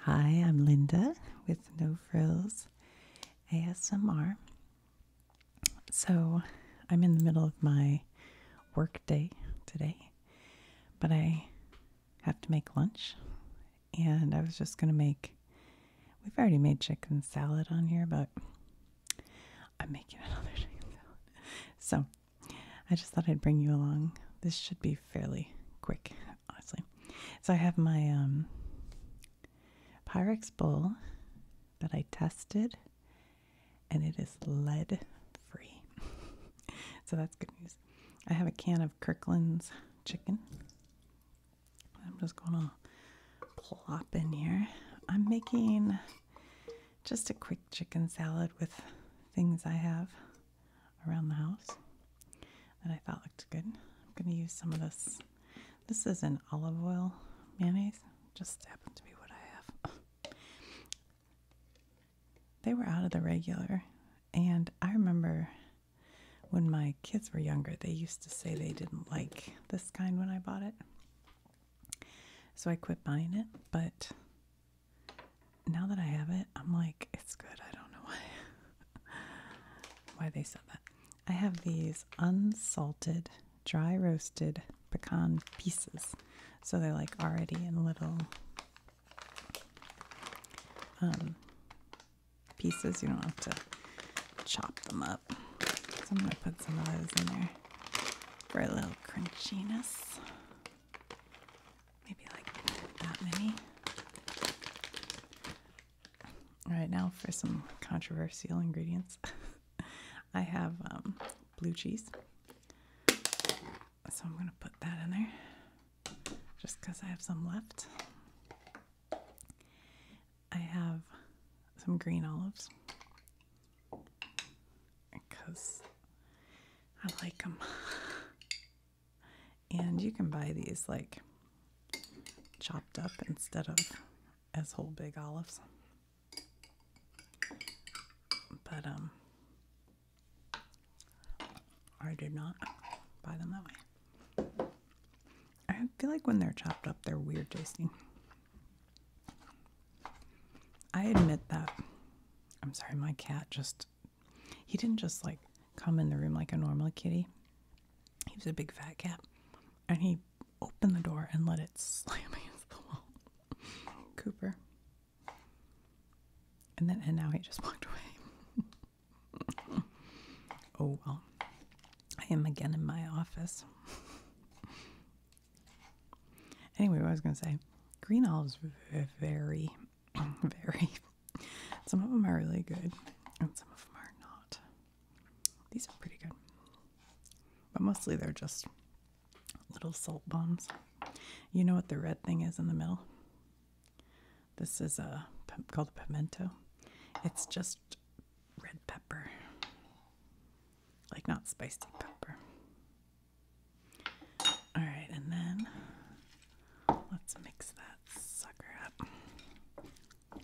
Hi, I'm Linda with No Frills ASMR. So, I'm in the middle of my work day today, but I have to make lunch. And I was just going to make, we've already made chicken salad on here, but I'm making another chicken salad. So, I just thought I'd bring you along. This should be fairly quick, honestly. So I have my um, Pyrex bowl that I tested, and it is lead free. so that's good news. I have a can of Kirkland's chicken. I'm just gonna plop in here. I'm making just a quick chicken salad with things I have around the house that I thought looked good. I'm going to use some of this. This is an olive oil mayonnaise. Just happened to be what I have. they were out of the regular. And I remember when my kids were younger, they used to say they didn't like this kind when I bought it. So I quit buying it. But now that I have it, I'm like, it's good. I don't know why why they said that. I have these unsalted, dry roasted pecan pieces. So they're like already in little um, pieces. You don't have to chop them up. So I'm going to put some of those in there for a little crunchiness. Maybe like that many. All right, now for some controversial ingredients. I have um, blue cheese. So I'm going to put that in there just because I have some left. I have some green olives because I like them. and you can buy these like chopped up instead of as whole big olives. But um I did not buy them that way. I feel like when they're chopped up they're weird tasting. I admit that. I'm sorry, my cat just, he didn't just like come in the room like a normal kitty. He was a big fat cat. And he opened the door and let it slam against the wall. Cooper. And then, and now he just walked away. oh well. I am again in my office. Anyway, I was gonna say, green olives very, very. Some of them are really good, and some of them are not. These are pretty good, but mostly they're just little salt bombs. You know what the red thing is in the middle? This is a called a pimento. It's just red pepper, like not spicy pepper. All right, and then let's mix that sucker up. I'm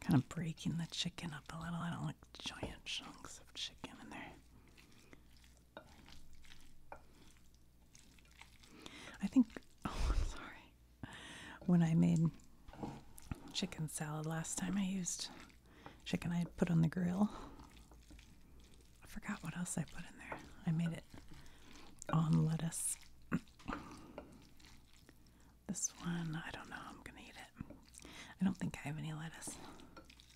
kind of breaking the chicken up a little. I don't like giant chunks of chicken in there. I think, oh, I'm sorry. When I made chicken salad last time, I used chicken I put on the grill. I forgot what else I put in there. I made it on lettuce. this one, I don't know. I'm going to eat it. I don't think I have any lettuce.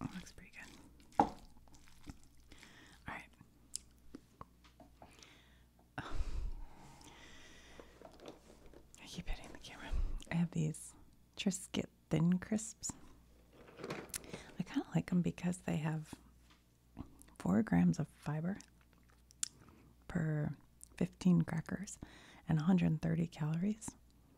looks pretty good. Alright. I keep hitting the camera. I have these Triscuit Thin Crisps. I kind of like them because they have four grams of fiber per 15 crackers and 130 calories.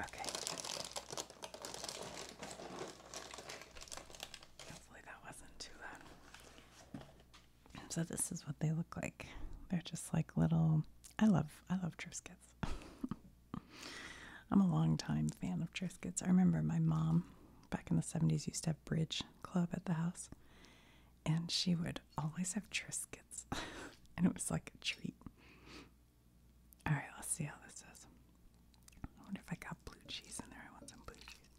Okay. Hopefully that wasn't too loud. So this is what they look like. They're just like little I love I love Triscuits. I'm a long time fan of Triscuits. I remember my mom back in the 70s used to have bridge club at the house and she would always have Triscuits and it was like a treat. All right, let's see how this is. I wonder if I got blue cheese in there. I want some blue cheese.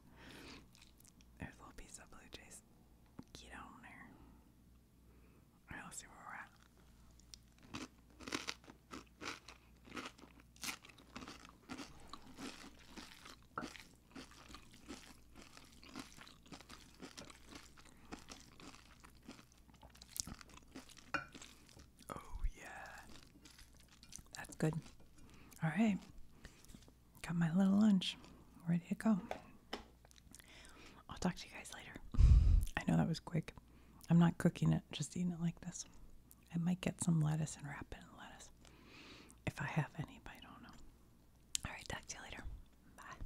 There's a little piece of blue cheese. Get on there. All right, see where we're at. Oh, yeah. That's good. All right. Got my little lunch. Ready to go. I'll talk to you guys later. I know that was quick. I'm not cooking it, just eating it like this. I might get some lettuce and wrap it in lettuce. If I have any, but I don't know. All right, talk to you later. Bye.